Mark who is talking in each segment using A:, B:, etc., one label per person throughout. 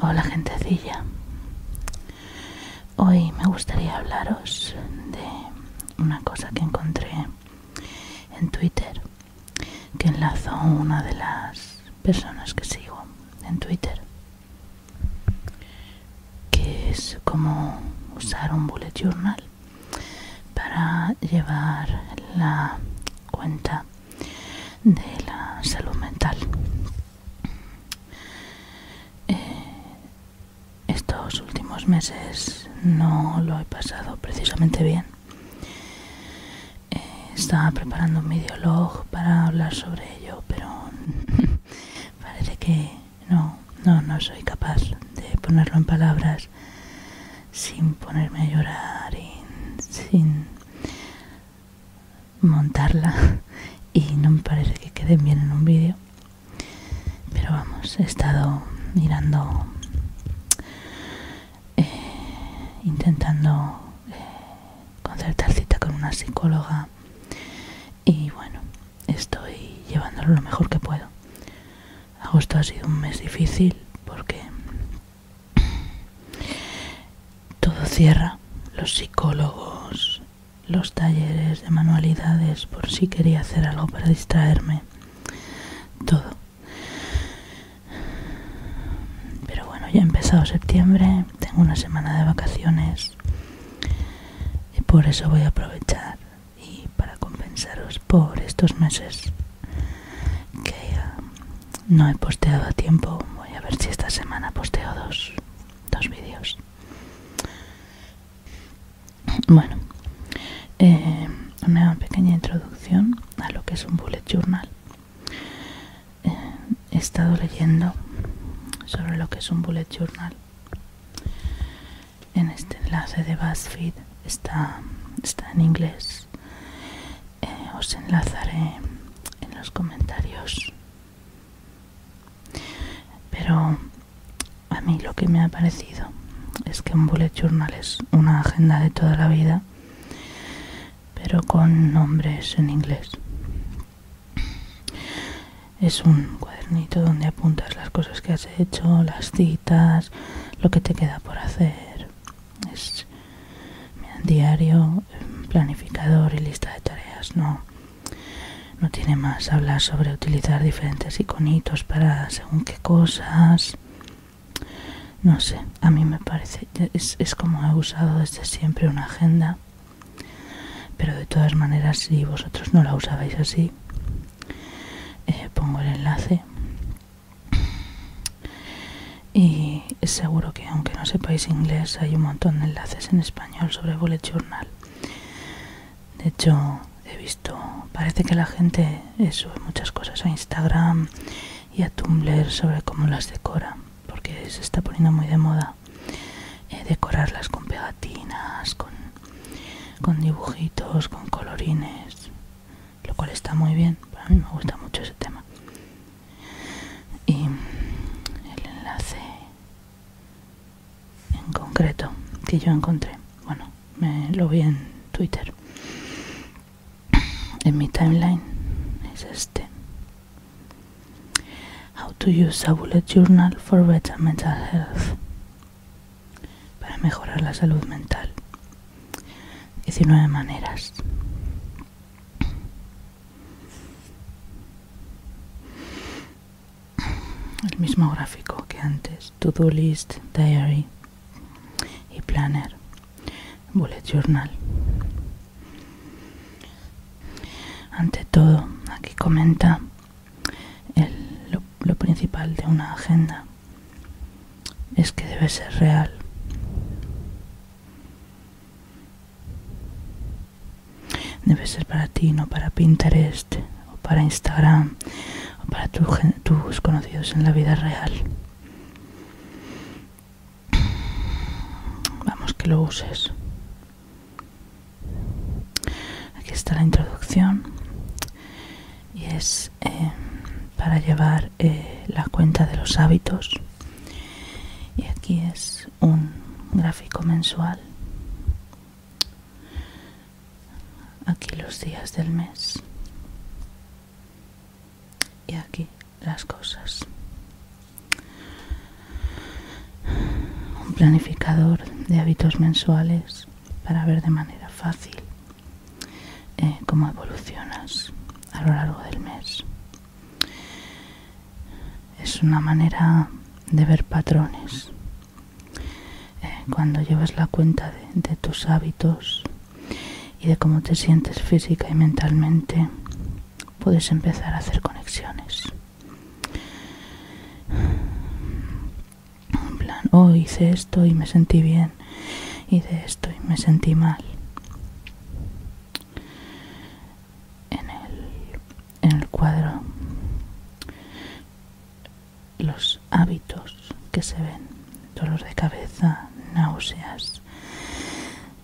A: Hola gentecilla, hoy me gustaría hablaros de una cosa que encontré en Twitter que enlazo una de las personas que sigo en Twitter que es como usar un bullet journal para llevar la cuenta de la salud mental. Eh, estos últimos meses no lo he pasado precisamente bien. Eh, estaba preparando un videolog para hablar sobre ello, pero parece que no, no soy capaz de ponerlo en palabras sin ponerme a llorar y sin montarla y no me parece que queden bien en un vídeo pero vamos he estado mirando eh, intentando eh, concertar cita con una psicóloga y bueno estoy llevándolo lo mejor que puedo agosto ha sido un mes difícil porque todo cierra. Los psicólogos, los talleres de manualidades, por si quería hacer algo para distraerme. Todo. Pero bueno, ya he empezado septiembre, tengo una semana de vacaciones. Y por eso voy a aprovechar y para compensaros por estos meses que um, no he posteado tiempo. Voy a ver si esta semana posteo dos, dos vídeos. Bueno, eh, una pequeña introducción a lo que es un bullet journal. Eh, he estado leyendo sobre lo que es un bullet journal. En este enlace de BuzzFeed está, está en inglés eh, os enlazaré en los comentarios pero a mí lo que me ha parecido es que un bullet journal es una agenda de toda la vida pero con nombres en inglés es un cuadernito donde apuntas las cosas que has hecho, las citas, lo que te queda por hacer es diario, em, planificador y lista de tareas, no, tiene más. hablar sobre utilizar diferentes iconitos para según qué cosas. No sé, a mí me parece, es, como he usado desde siempre una agenda, pero de todas maneras si vosotros no la usabais así, eh, pongo el enlace y seguro que aunque no sepáis inglés hay un montón de enlaces en español sobre Bullet Journal. De hecho, he visto, parece que la gente eh, sube muchas cosas a Instagram y a Tumblr sobre cómo las decora, porque se está poniendo muy de moda eh, decorarlas con pegatinas, con dibujitos, con colorines lo cual está muy bien, para mí me gusta mucho ese tema. Y el enlace en concreto que yo encontré, bueno, me lo vi en Twitter, en mi timeline, es este. How to use a bullet journal for better mental health para mejorar la salud mental. 19 maneras. El mismo gráfico que antes. To-do list, diary y planner. Bullet journal. Ante todo, aquí comenta lo principal de una agenda es que debe ser real. Debe ser para ti, no para Pinterest o para Instagram o para tus conocidos en la vida real. Vamos, que lo uses. Aquí está la introducción y es eh, para llevar eh, la cuenta de los hábitos y aquí es un gráfico mensual aquí los días del mes y aquí las cosas un planificador de hábitos mensuales para ver de manera fácil eh, cómo evolucionas a lo largo del mes. Es una manera de ver patrones. Eh, cuando llevas la cuenta de, de tus hábitos y de cómo te sientes física y mentalmente, puedes empezar a hacer conexiones. En plan, oh, hice esto y me sentí bien y de esto y me sentí mal. En el, en el cuadro los hábitos que se ven, dolor de cabeza, náuseas,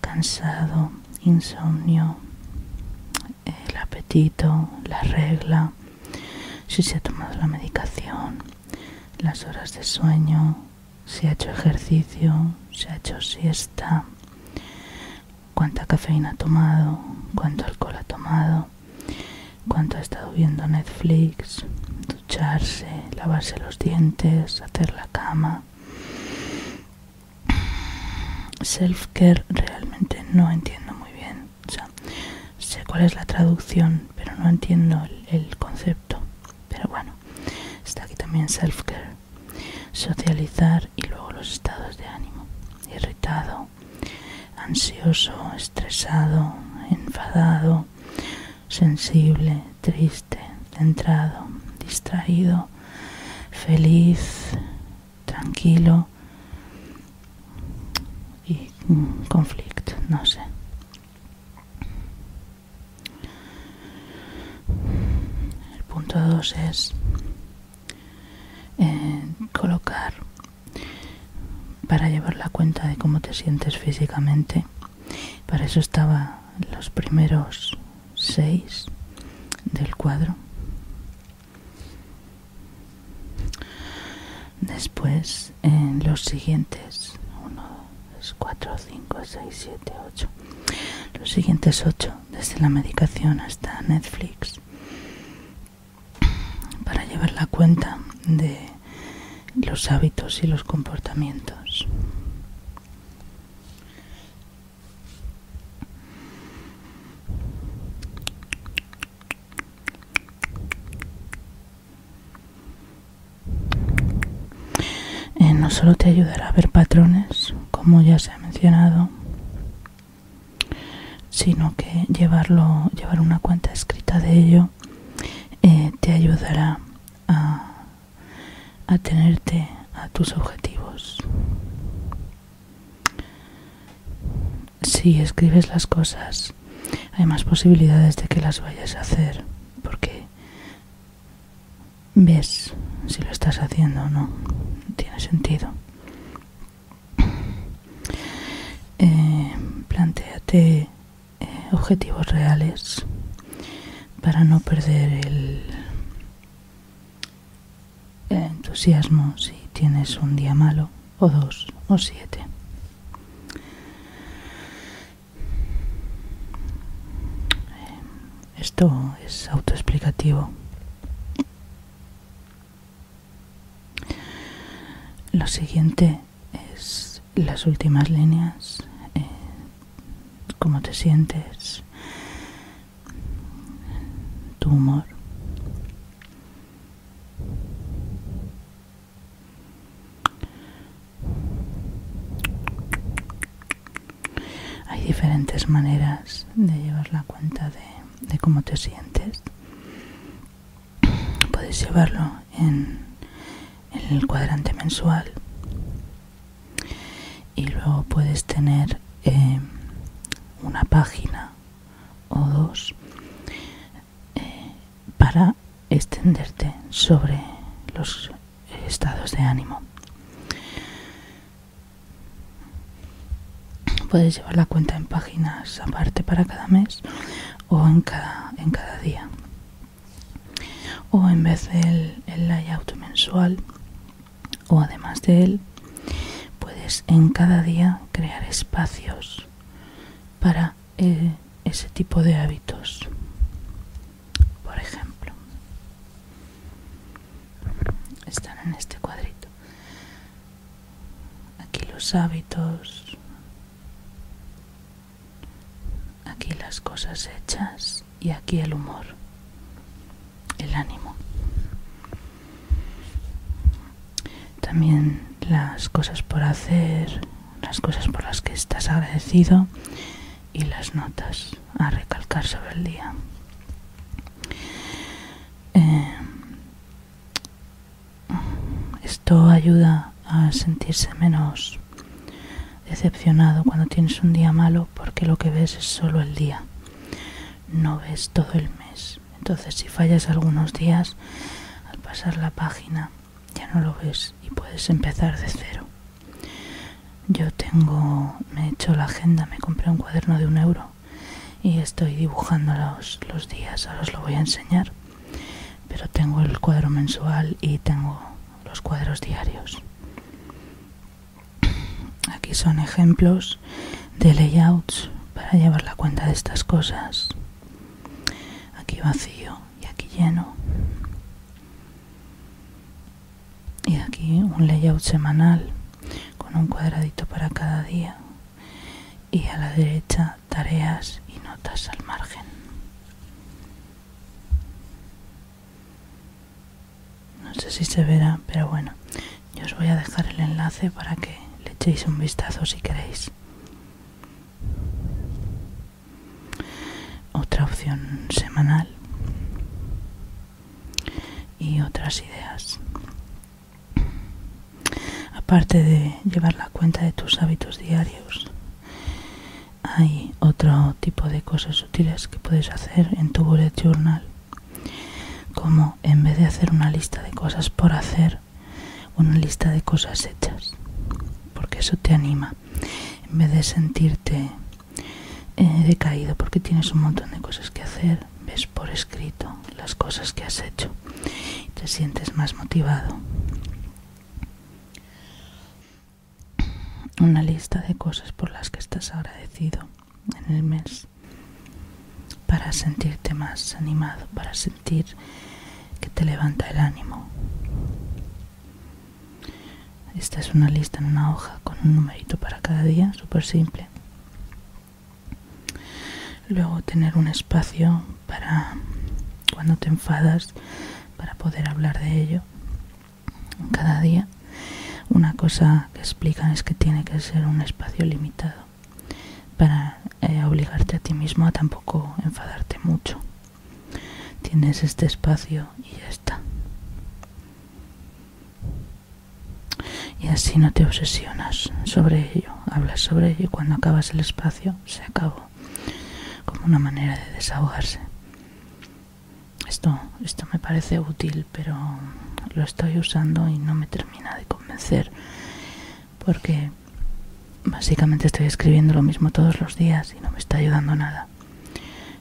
A: cansado, insomnio, el apetito, la regla, si se ha tomado la medicación, las horas de sueño, si ha hecho ejercicio, si ha hecho siesta, cuánta cafeína ha tomado, cuánto alcohol ha tomado, cuánto ha estado viendo Netflix, ducharse, lavarse los dientes, hacer la cama. Self-care realmente no entiendo muy bien. sé cuál es la traducción, pero no entiendo el concepto pero bueno, está aquí también self-care. Socializar y luego los estados de ánimo. Irritado, ansioso, estresado, enfadado, sensible, triste, centrado, distraído, feliz, tranquilo y mm, conflicto, no sé. El punto dos es eh, colocar para llevar la cuenta de cómo te sientes físicamente. Para eso estaba los primeros seis del cuadro. Después, en los siguientes, 1, 4, 5, 6, 7, 8, los siguientes 8, desde la medicación hasta Netflix, para llevar la cuenta de los hábitos y los comportamientos. Eh, no solo te ayudará a ver patrones, como ya se ha mencionado, sino que llevar una cuenta escrita de ello eh, te ayudará a tenerte a tus objetivos. Si escribes las cosas hay más posibilidades de que las vayas a hacer porque ves si lo estás haciendo o no tiene sentido eh, planteate eh, objetivos reales para no perder el entusiasmo si tienes un día malo o dos o siete eh, esto es autoexplicativo. Lo siguiente es las últimas líneas, eh, cómo te sientes, tu humor. Hay diferentes maneras de llevar la cuenta de, cómo te sientes. Puedes llevarlo en, el cuadrante mensual y luego puedes tener eh, una página o dos eh, para extenderte sobre los estados de ánimo. Puedes llevar la cuenta en páginas aparte para cada mes o en cada, en cada día. O en vez del layout mensual o además de él, puedes en cada día crear espacios para eh, ese tipo de hábitos. Por ejemplo, están en este cuadrito. Aquí los hábitos, aquí las cosas hechas y aquí el humor, el ánimo. También las cosas por hacer, las cosas por las que estás agradecido y las notas a recalcar sobre el día. Eh, esto ayuda a sentirse menos decepcionado cuando tienes un día malo porque lo que ves es solo el día, no ves todo el mes. Entonces si fallas algunos días, al pasar la página ya no lo ves y puedes empezar de cero. Yo tengo, me he hecho la agenda, me compré un cuaderno de un euro y estoy dibujando los, los días, ahora os lo voy a enseñar, pero tengo el cuadro mensual y tengo los cuadros diarios. Aquí son ejemplos de layouts para llevar la cuenta de estas cosas. Aquí vacío, y aquí lleno. Y aquí un layout semanal con un cuadradito para cada día. Y a la derecha tareas y notas al margen. No sé si se verá, pero bueno, yo os voy a dejar el enlace para que le echéis un vistazo si queréis otra opción semanal y otras ideas. Aparte de llevar la cuenta de tus hábitos diarios, hay otro tipo de cosas útiles que puedes hacer en tu bullet journal, como en vez de hacer una lista de cosas por hacer, una lista de cosas hechas, porque eso te anima, en vez de sentirte eh, decaído porque tienes un montón de cosas que hacer, ves por escrito las cosas que has hecho y te sientes más motivado. Una lista de cosas por las que estás agradecido en el mes para sentirte más animado, para sentir que te levanta el ánimo. Esta es una lista en una hoja con un numerito para cada día, súper simple. Luego tener un espacio para cuando te enfadas, para poder hablar de ello cada día. Una cosa que explican es que tiene que ser un espacio limitado para eh, obligarte a ti mismo a tampoco enfadarte mucho. Tienes este espacio y ya está. Y así no te obsesionas sobre ello, hablas sobre ello y cuando acabas el espacio se acabó, como una manera de desahogarse. Esto, esto me parece útil, pero lo estoy usando y no me termina de convencer porque básicamente estoy escribiendo lo mismo todos los días y no me está ayudando nada.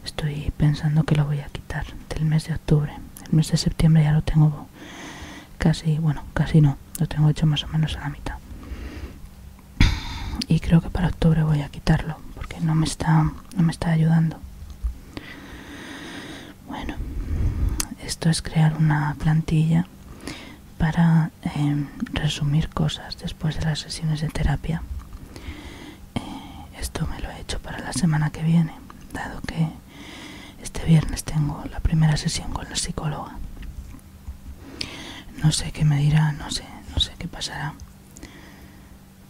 A: Estoy pensando que lo voy a quitar del mes de octubre. El mes de septiembre ya lo tengo casi, bueno, casi no, lo tengo hecho más o menos a la mitad. Y creo que para octubre voy a quitarlo porque no me está, no me está ayudando. Bueno, esto es crear una plantilla para em, resumir cosas después de las sesiones de terapia. Eh, esto me lo he hecho para la semana que viene, dado que este viernes tengo la primera sesión con la psicóloga. No sé qué me dirá, no sé, no sé qué pasará.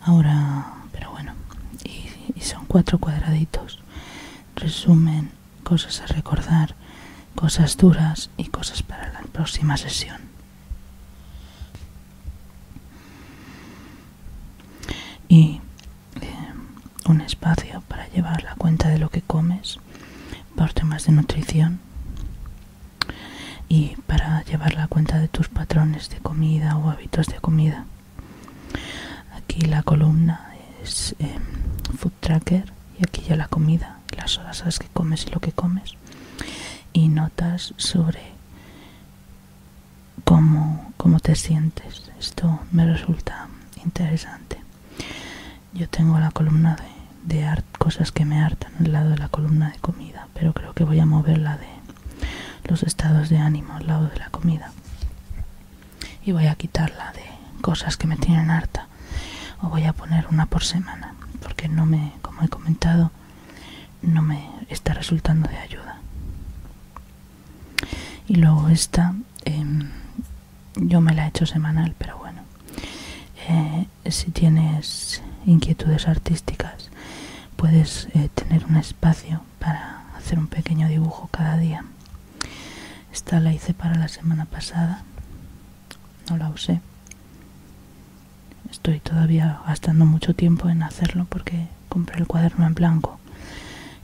A: Ahora, pero bueno, y son cuatro cuadraditos. Resumen, cosas a recordar, cosas duras y cosas para la próxima sesión. Y eh, un espacio para llevar la cuenta de lo que comes por temas de nutrición y para llevar la cuenta de tus patrones de comida o hábitos de comida. Aquí la columna es eh, food tracker y aquí ya la comida las las que comes y lo que comes, y notas sobre cómo, te sientes. Esto me resulta interesante. Yo tengo la columna de, cosas que me hartan al lado de la columna de comida, pero creo que voy a moverla de los estados de ánimo al lado de la comida y voy a quitarla de cosas que me tienen harta o voy a poner una por semana porque no me como he comentado no me está resultando de ayuda y luego esta em, yo me la he hecho semanal pero bueno eh, si tienes inquietudes artísticas puedes eh, tener un espacio para hacer un pequeño dibujo cada día esta la hice para la semana pasada no la usé Estoy todavía gastando mucho tiempo en hacerlo porque compré el cuaderno en blanco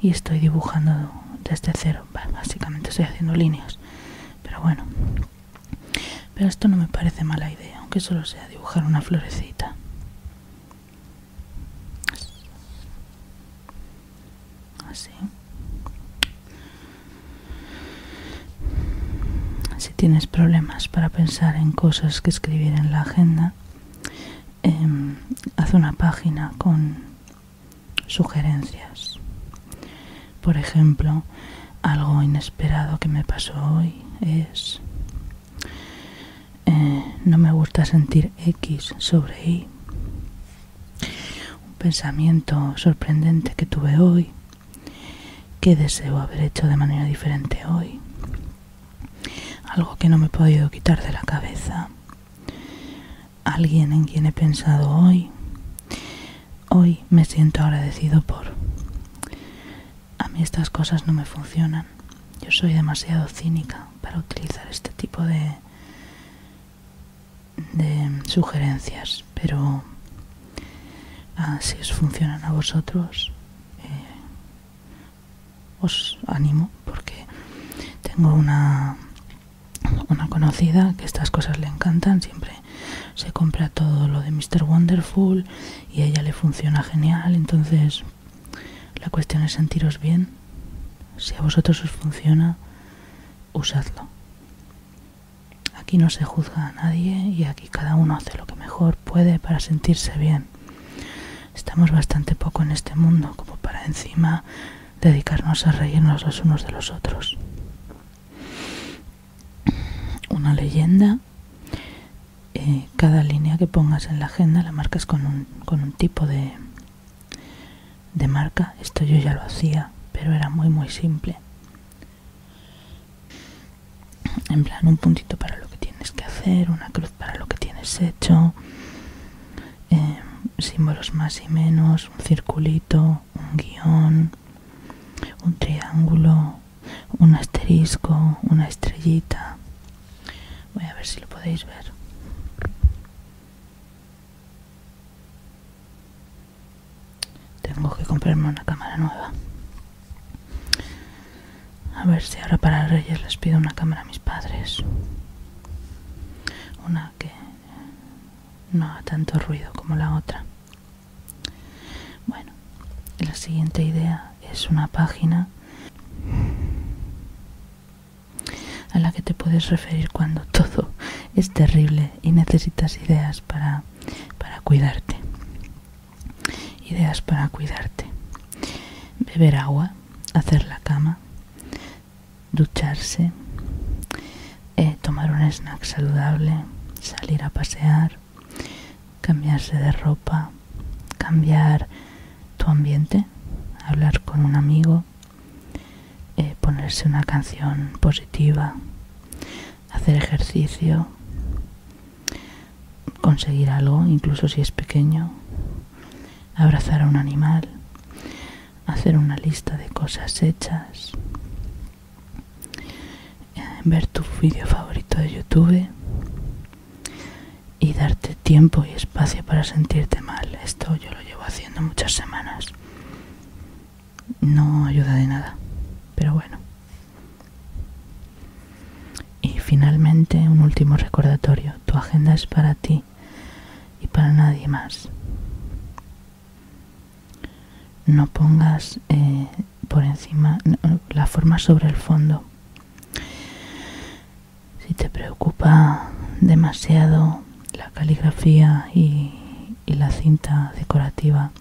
A: y estoy dibujando desde cero. básicamente estoy haciendo líneas, pero bueno. Pero esto no me parece mala idea, aunque solo sea dibujar una florecita. Así. Si tienes problemas para pensar en cosas que escribir en la agenda, em, haz una página con sugerencias. Por ejemplo, algo inesperado que me pasó hoy es eh, no me gusta sentir X sobre Y. Un pensamiento sorprendente que tuve hoy ¿Qué deseo haber hecho de manera diferente hoy? Algo que no me he podido quitar de la cabeza. Alguien en quien he pensado hoy. Hoy me siento agradecido por... A mí estas cosas no me funcionan. Yo soy demasiado cínica para utilizar este tipo de de sugerencias, pero ah, si os funcionan a vosotros, eh, os animo porque tengo una, una conocida que estas cosas le encantan, siempre se compra todo lo de Mister Wonderful y ella le funciona genial, entonces la cuestión es sentiros bien. Si a vosotros os funciona, usadlo. Aquí no se juzga a nadie y aquí cada uno hace lo que mejor puede para sentirse bien. Estamos bastante poco en este mundo como para encima dedicarnos a reírnos los unos de los otros. Una leyenda, eh, cada línea que pongas en la agenda la marcas con un, tipo de marca. Esto yo ya lo hacía, pero era muy muy simple. En plan, un puntito para lo que tienes que hacer, una cruz para lo que tienes hecho, em, símbolos más y menos, un circulito, un guión, un triángulo, un asterisco, una estrellita. Voy a ver si lo podéis ver. Tengo que comprarme una cámara nueva. A ver si ahora para Reyes les pido una cámara a mis padres. Una que no haga tanto ruido como la otra. Bueno, la siguiente idea es una página a la que te puedes referir cuando todo es terrible y necesitas ideas para para cuidarte. Ideas para cuidarte. Beber agua, hacer la cama, ducharse, eh, tomar un snack saludable, salir a pasear, cambiarse de ropa, cambiar tu ambiente, hablar con un amigo, eh, ponerse una canción positiva, hacer ejercicio, conseguir algo, incluso si es pequeño, abrazar a un animal, hacer una lista de cosas hechas, eh, ver tu vídeo favorito de YouTube y darte tiempo y espacio para sentirte mal. Esto yo lo llevo haciendo muchas semanas no ayuda de nada, pero bueno. Y finalmente un último recordatorio, tu agenda es para ti y para nadie más. No pongas eh, por encima la forma sobre el fondo. Si te preocupa demasiado la caligrafía y la cinta decorativa,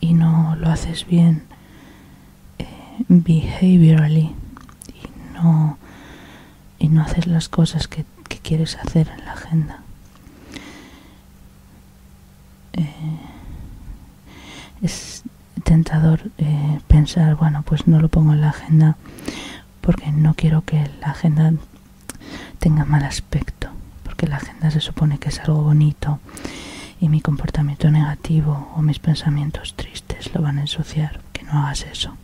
A: y no lo haces bien eh, behaviorally y no, y no haces las cosas que, quieres hacer en la agenda. Eh, es tentador eh, pensar, bueno, pues no lo pongo en la agenda porque no quiero que la agenda tenga mal aspecto, porque la agenda se supone que es algo bonito y mi comportamiento negativo o mis pensamientos tristes lo van a ensuciar. Que no hagas eso.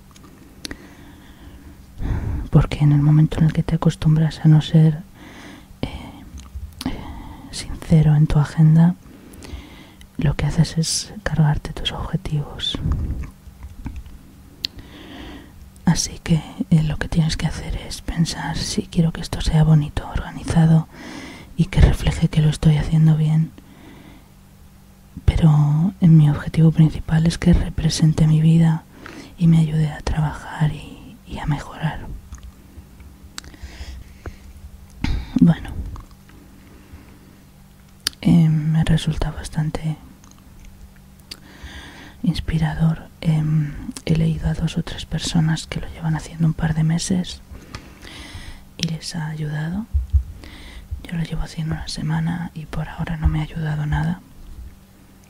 A: Porque en el momento en el que te acostumbras a no ser eh, eh, sincero en tu agenda, lo que haces es cargarte tus objetivos. Así que eh, lo que tienes que hacer es pensar si quiero que esto sea bonito, organizado y que refleje que lo estoy haciendo bien. Pero mi objetivo principal es que represente mi vida y me ayude a trabajar y, a mejorar. Bueno, eh, me resulta bastante inspirador. Em, he leído a dos o tres personas que lo llevan haciendo un par de meses y les ha ayudado. Yo lo llevo haciendo una semana y por ahora no me ha ayudado nada.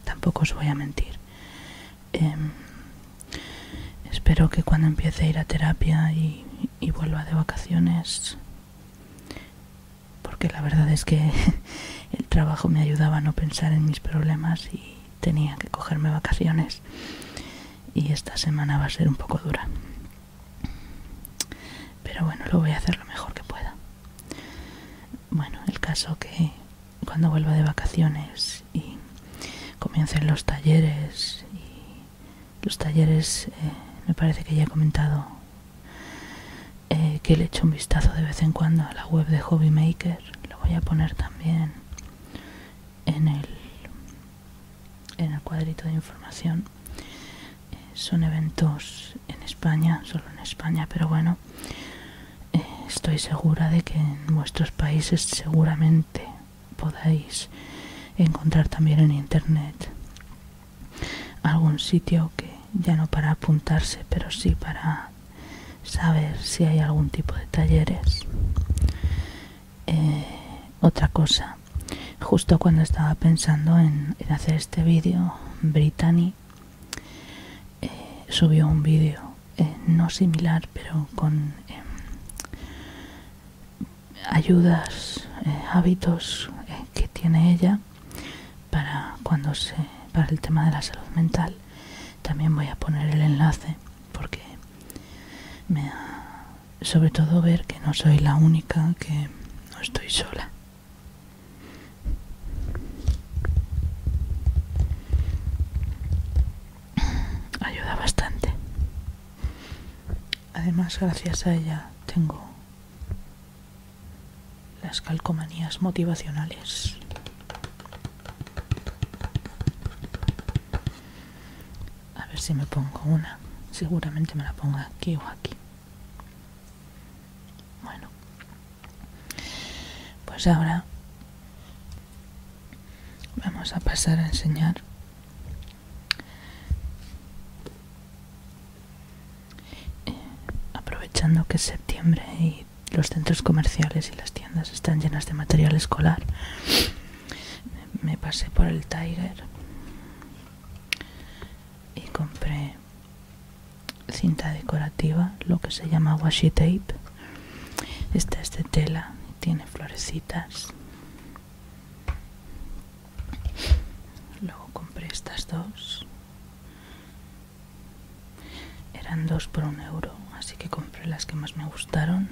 A: Tampoco os voy a mentir. Em, espero que cuando empiece a ir a terapia y vuelva de vacaciones, porque la verdad es que el trabajo me ayudaba a no pensar en mis problemas y tenía que cogerme vacaciones y esta semana va a ser un poco dura pero bueno lo voy a hacer lo mejor que pueda bueno el caso que cuando vuelva de vacaciones y comiencen los talleres y los talleres eh, me parece que ya he comentado eh, que le echo un vistazo de vez en cuando a la web de Hobbymaker. Lo voy a poner también en el, en el cuadrito de información. Eh, son eventos en España, solo en España, pero bueno, eh, estoy segura de que en vuestros países seguramente podáis encontrar también en internet algún sitio que ya no para apuntarse, pero sí para saber si hay algún tipo de talleres. Eh, otra cosa, justo cuando estaba pensando en, hacer este vídeo, Brittany eh, subió un vídeo, eh, no similar, pero con em, ayudas, hábitos que tiene ella para cuando se para el tema de la salud mental también voy a poner el enlace porque me ha, sobre todo ver que no soy la única que no estoy sola ayuda bastante además gracias a ella tengo las calcomanías motivacionales. A ver si me pongo una. Seguramente me la ponga aquí o aquí. Bueno. Pues ahora vamos a pasar a enseñar eh, aprovechando que es septiembre y los centros comerciales y las tiendas están llenas de material escolar. Me pasé por el Tiger y compré cinta decorativa, lo que se llama washi tape. Esta es de tela, tiene florecitas. Luego compré estas dos eran dos por un euro, así que compré las que más me gustaron.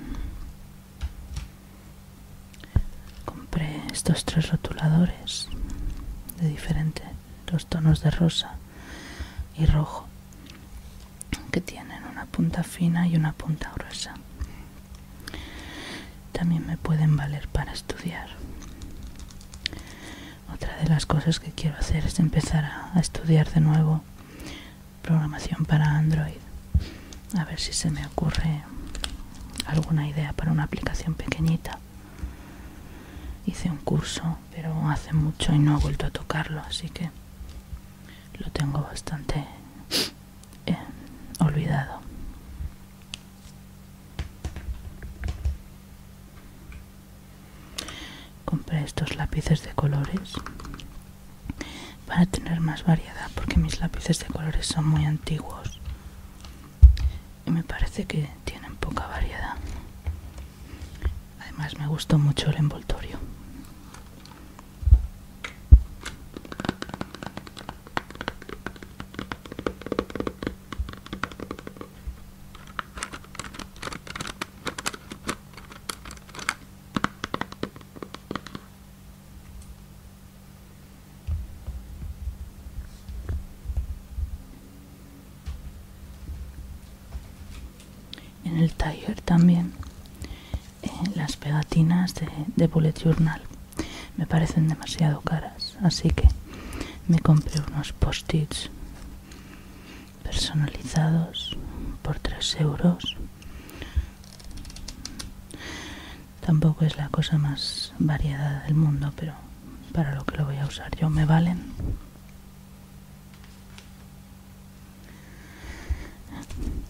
A: Compré estos tres rotuladores de diferentes, dos tonos de rosa y rojo, que tienen una punta fina y una punta gruesa. También me pueden valer para estudiar. Otra de las cosas que quiero hacer es empezar a, estudiar de nuevo programación para Android. A ver si se me ocurre alguna idea para una aplicación pequeñita. Hice un curso, pero hace mucho y no he vuelto a tocarlo, así que lo tengo bastante eh, olvidado. Compré estos lápices de colores para tener más variedad porque mis lápices de colores son muy antiguos y me parece que tienen poca variedad. Además me gustó mucho el envoltorio. En el taller también eh, las pegatinas de, de Bullet Journal me parecen demasiado caras, así que me compré unos post-its personalizados por 3 euros tampoco es la cosa más variada del mundo pero para lo que lo voy a usar yo me valen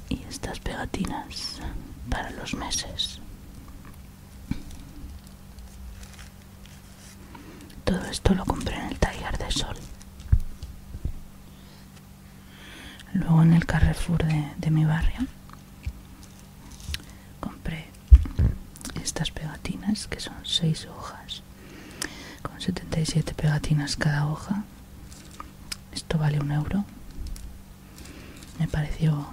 A: y estas pegatinas para los meses todo esto lo compré en el Taller de Sol. Luego en el Carrefour de, mi barrio compré estas pegatinas que son 6 hojas con 77 pegatinas cada hoja. Esto vale un euro. Me pareció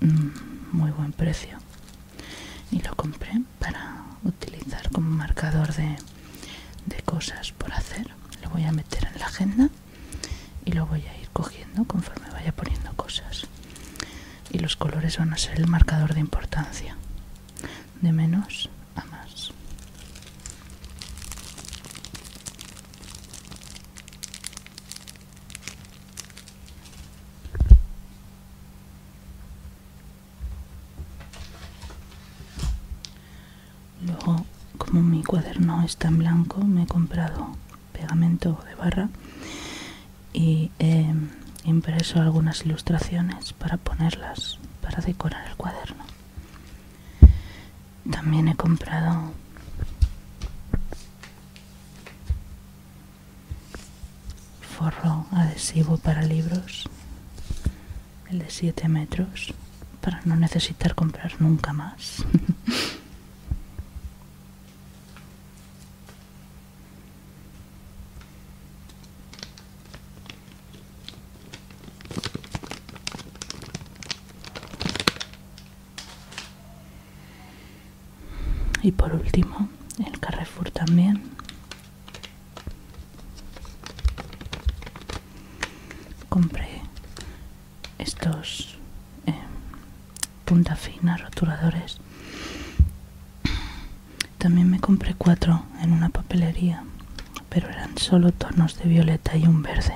A: mm, muy buen precio y lo compré para utilizar como marcador de, cosas por hacer lo voy a meter en la agenda y lo voy a ir cogiendo conforme vaya poniendo cosas y los colores van a ser el marcador de importancia de menos a más Luego, como mi cuaderno está en blanco, me he comprado pegamento de barra y he impreso algunas ilustraciones para ponerlas para decorar el cuaderno. También he comprado forro adhesivo para libros, el de siete metros, para no necesitar comprar nunca más. y por último el Carrefour también compré estos eh, punta fina rotuladores también me compré cuatro en una papelería pero eran solo tonos de violeta y un verde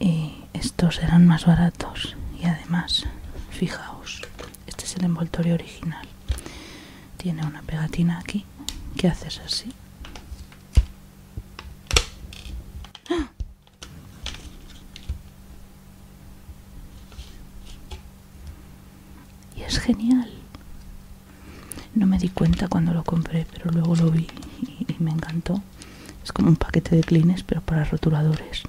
A: y estos eran más baratos y además fijaos este es el envoltorio original tiene una pegatina aquí ¿Qué haces así ¡Ah! y es genial no me di cuenta cuando lo compré pero luego lo vi y, y me encantó es como un paquete de clines pero para rotuladores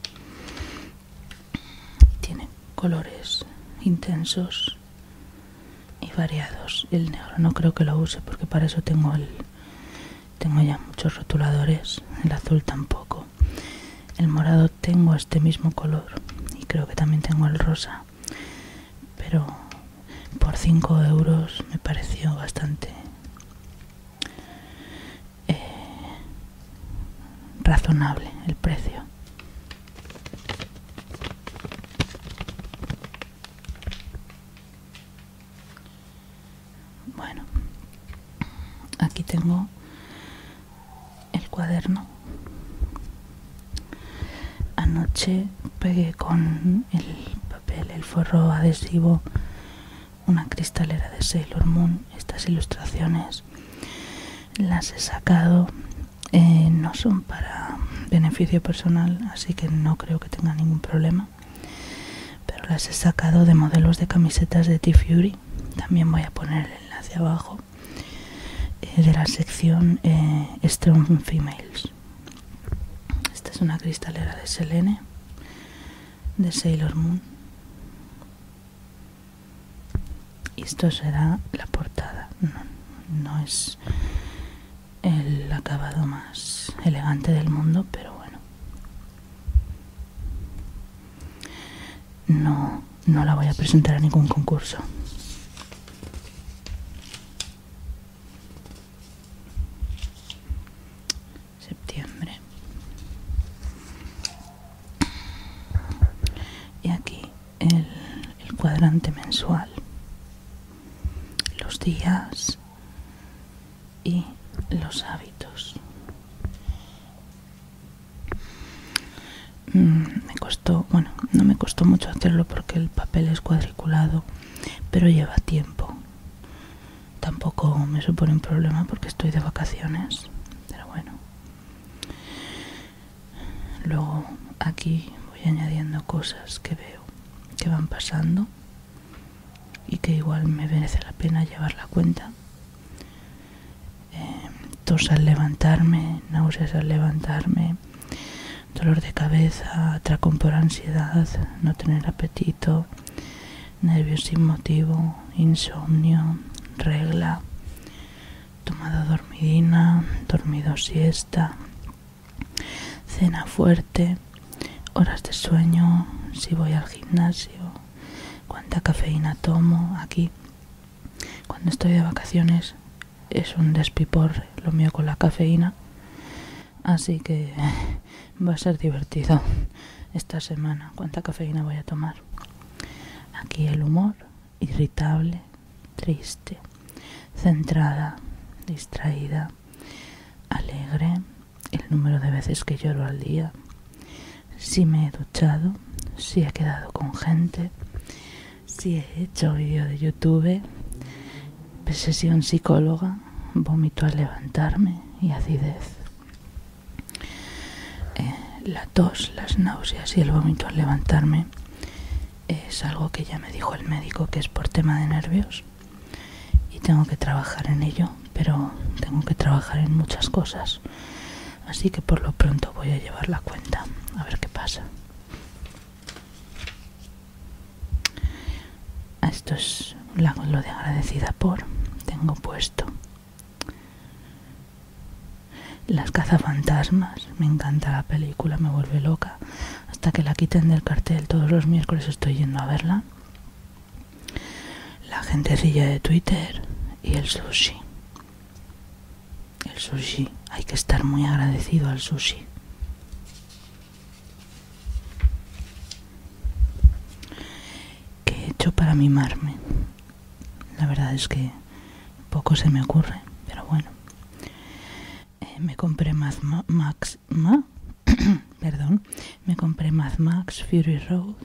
A: tiene colores intensos y variados el negro no creo que lo use porque para eso tengo el tengo ya muchos rotuladores el azul tampoco el morado tengo este mismo color y creo que también tengo el rosa pero por 5 euros me pareció bastante eh, razonable el precio. Bueno, aquí tengo el cuaderno. Anoche pegué con el papel, el forro adhesivo una cristalera de Sailor Moon estas ilustraciones las he sacado eh, no son para beneficio personal así que no creo que tenga ningún problema pero las he sacado de modelos de camisetas de T-Fury también voy a poner el enlace abajo eh, de la sección eh, Strong Females esta es una cristalera de Selene de Sailor Moon esto será la portada no, es el acabado más elegante del mundo pero bueno no no la voy a presentar a ningún concurso septiembre y aquí el, cuadrante mensual los días y los hábitos mm, me costó bueno no me costó mucho hacerlo porque el papel es cuadriculado pero lleva tiempo tampoco me supone un problema porque estoy de vacaciones pero bueno Luego aquí voy añadiendo cosas que veo que van pasando y que igual me merece la pena llevar la cuenta. Eh, tos al levantarme, náuseas al levantarme, dolor de cabeza, atracón por ansiedad, no tener apetito, nervios sin motivo, insomnio, regla, Tomada dormidina, dormido siesta, cena fuerte, horas de sueño, si voy al gimnasio, cuánta cafeína tomo aquí. Cuando estoy de vacaciones es un despipor lo mío con la cafeína, así que va a ser divertido esta semana cuánta cafeína voy a tomar. Aquí el humor, irritable, triste, centrada, distraída, alegre, el número de veces que lloro al día, si me he duchado, si he quedado con gente, si he hecho vídeo de YouTube, un psicóloga, vómito al levantarme y acidez. Eh, la tos, las náuseas y el vómito al levantarme es algo que ya me dijo el médico que es por tema de nervios y tengo que trabajar en ello, pero tengo que trabajar en muchas cosas. Así que por lo pronto voy a llevar la cuenta, a ver qué pasa. Ah, esto es lo de agradecida por. Tengo puesto las cazafantasmas, me encanta la película, me vuelve loca. Hasta que la quiten del cartel todos los miércoles estoy yendo a verla. La gentecilla de Twitter y el sushi. El sushi, hay que estar muy agradecido al sushi. ¿Qué he hecho para mimarme? La verdad es que poco se me ocurre, pero bueno. Eh, me compré Math Max, perdón, me compré Mad Max Fury Road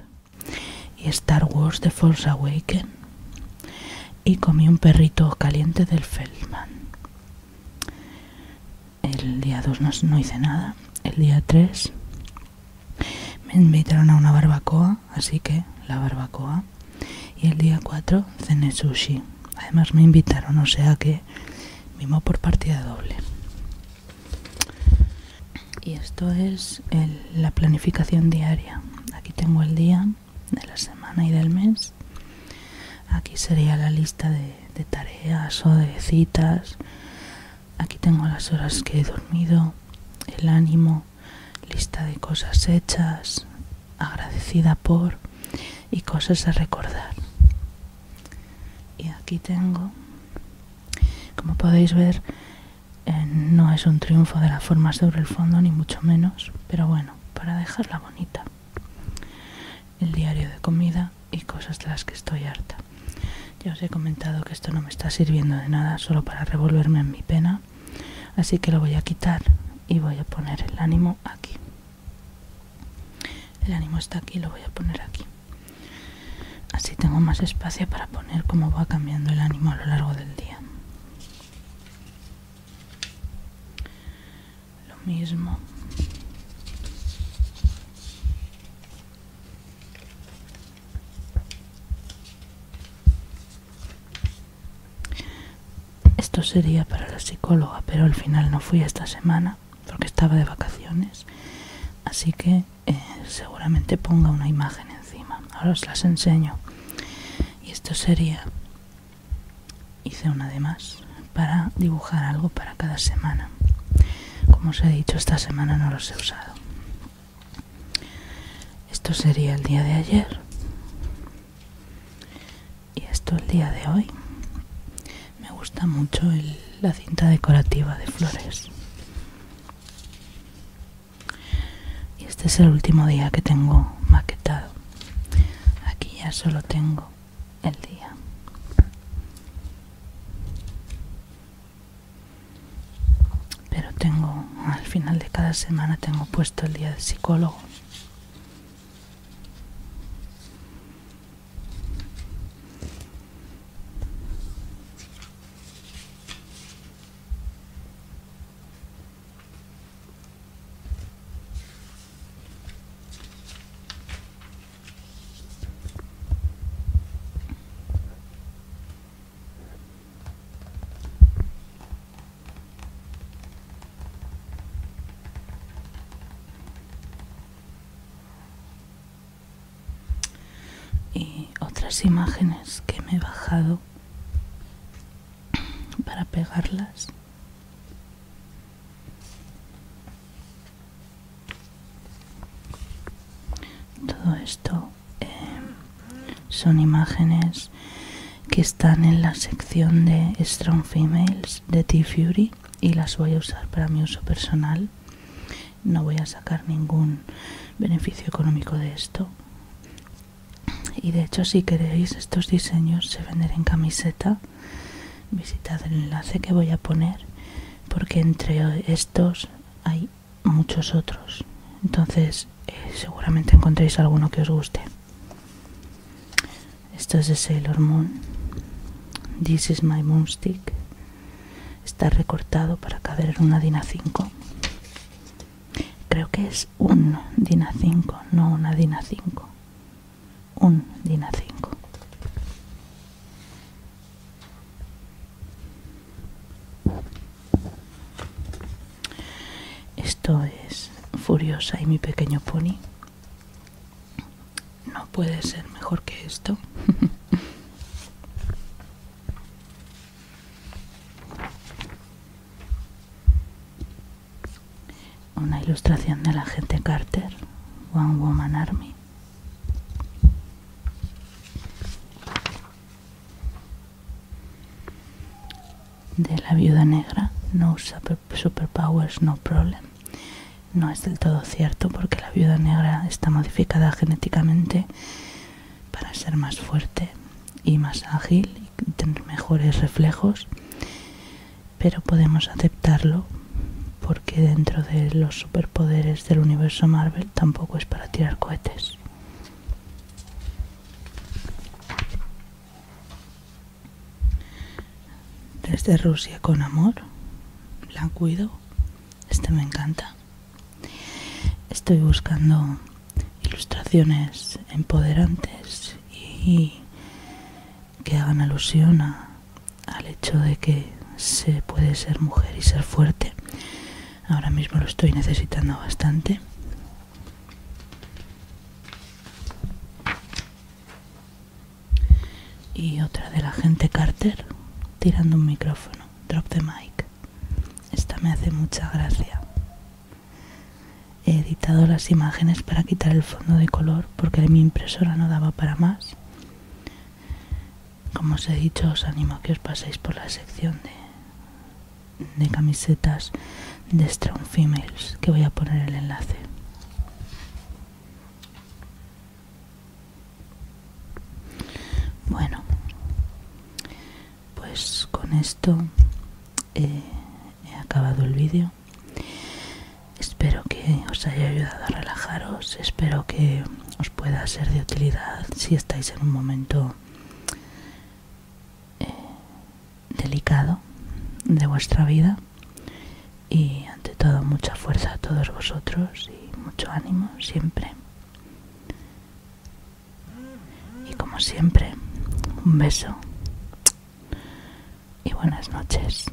A: y Star Wars The Force Awakens y comí un perrito caliente del Feldman. El día 2 no hice nada. El día 3 me invitaron a una barbacoa, así que la barbacoa. Y el día 4 cené sushi. Además me invitaron, o sea que vimos por partida doble. Y esto es la planificación diaria. Aquí tengo el día de la semana y del mes. Aquí sería la lista de tareas o de citas Aquí tengo las horas que he dormido, el ánimo, lista de cosas hechas, agradecida por y cosas a recordar. Y aquí tengo, como podéis ver, eh, no es un triunfo de la forma sobre el fondo, ni mucho menos, pero bueno, para dejarla bonita. El diario de comida y cosas de las que estoy harta. Ya os he comentado que esto no me está sirviendo de nada, solo para revolverme en mi pena. Así que lo voy a quitar y voy a poner el ánimo aquí. El ánimo está aquí, lo voy a poner aquí. Así tengo más espacio para poner cómo va cambiando el ánimo a lo largo del día. Lo mismo. Esto sería para la psicóloga, pero al final no fui esta semana porque estaba de vacaciones. Así que eh, seguramente ponga una imagen encima. Ahora os las enseño. Y esto sería, hice una de más, para dibujar algo para cada semana. Como os he dicho, esta semana no los he usado. Esto sería el día de ayer. Y esto el día de hoy. Me gusta mucho la cinta decorativa de flores. Y este es el último día que tengo maquetado. Aquí ya solo tengo el día. Pero tengo, al final de cada semana tengo puesto el día del psicólogo y otras imágenes que me he bajado para pegarlas todo esto Em, son imágenes que están en la sección de Strong Females de T-Fury y las voy a usar para mi uso personal. No voy a sacar ningún beneficio económico de esto. Y de hecho si queréis estos diseños se vender en camiseta. Visitad el enlace que voy a poner porque entre estos hay muchos otros. Entonces eh, seguramente encontréis alguno que os guste. Esto es de hormón. This is my stick Está recortado para caber en una Dina 5. Creo que es un Dina 5, no una Dina 5. Un Dina 5. Esto es Furiosa y mi pequeño pony. No puede ser mejor que esto. Una ilustración de la gente Carter, One Woman Army de la viuda negra, no superpowers, no problem. No es del todo cierto porque la viuda negra está modificada genéticamente para ser más fuerte y más ágil y tener mejores reflejos, pero podemos aceptarlo porque dentro de los superpoderes del universo Marvel tampoco es para tirar cohetes. Desde Rusia con amor, la cuido, Este me encanta. Estoy buscando ilustraciones empoderantes y que hagan alusión al hecho de que se puede ser mujer y ser fuerte ahora mismo lo estoy necesitando bastante y otra de la gente Carter tirando un micrófono drop the mic esta me hace mucha gracia he editado las imágenes para quitar el fondo de color porque mi impresora no daba para más como os he dicho, os animo a que os paséis por la sección de, de camisetas de Strong Females, que voy a poner el enlace. Bueno, pues con esto eh, he acabado el vídeo. Espero que os haya ayudado a relajaros, espero que os pueda ser de utilidad si estáis en un momento eh, delicado de vuestra vida y ante todo mucha fuerza a todos vosotros y mucho ánimo siempre y como siempre un beso y buenas noches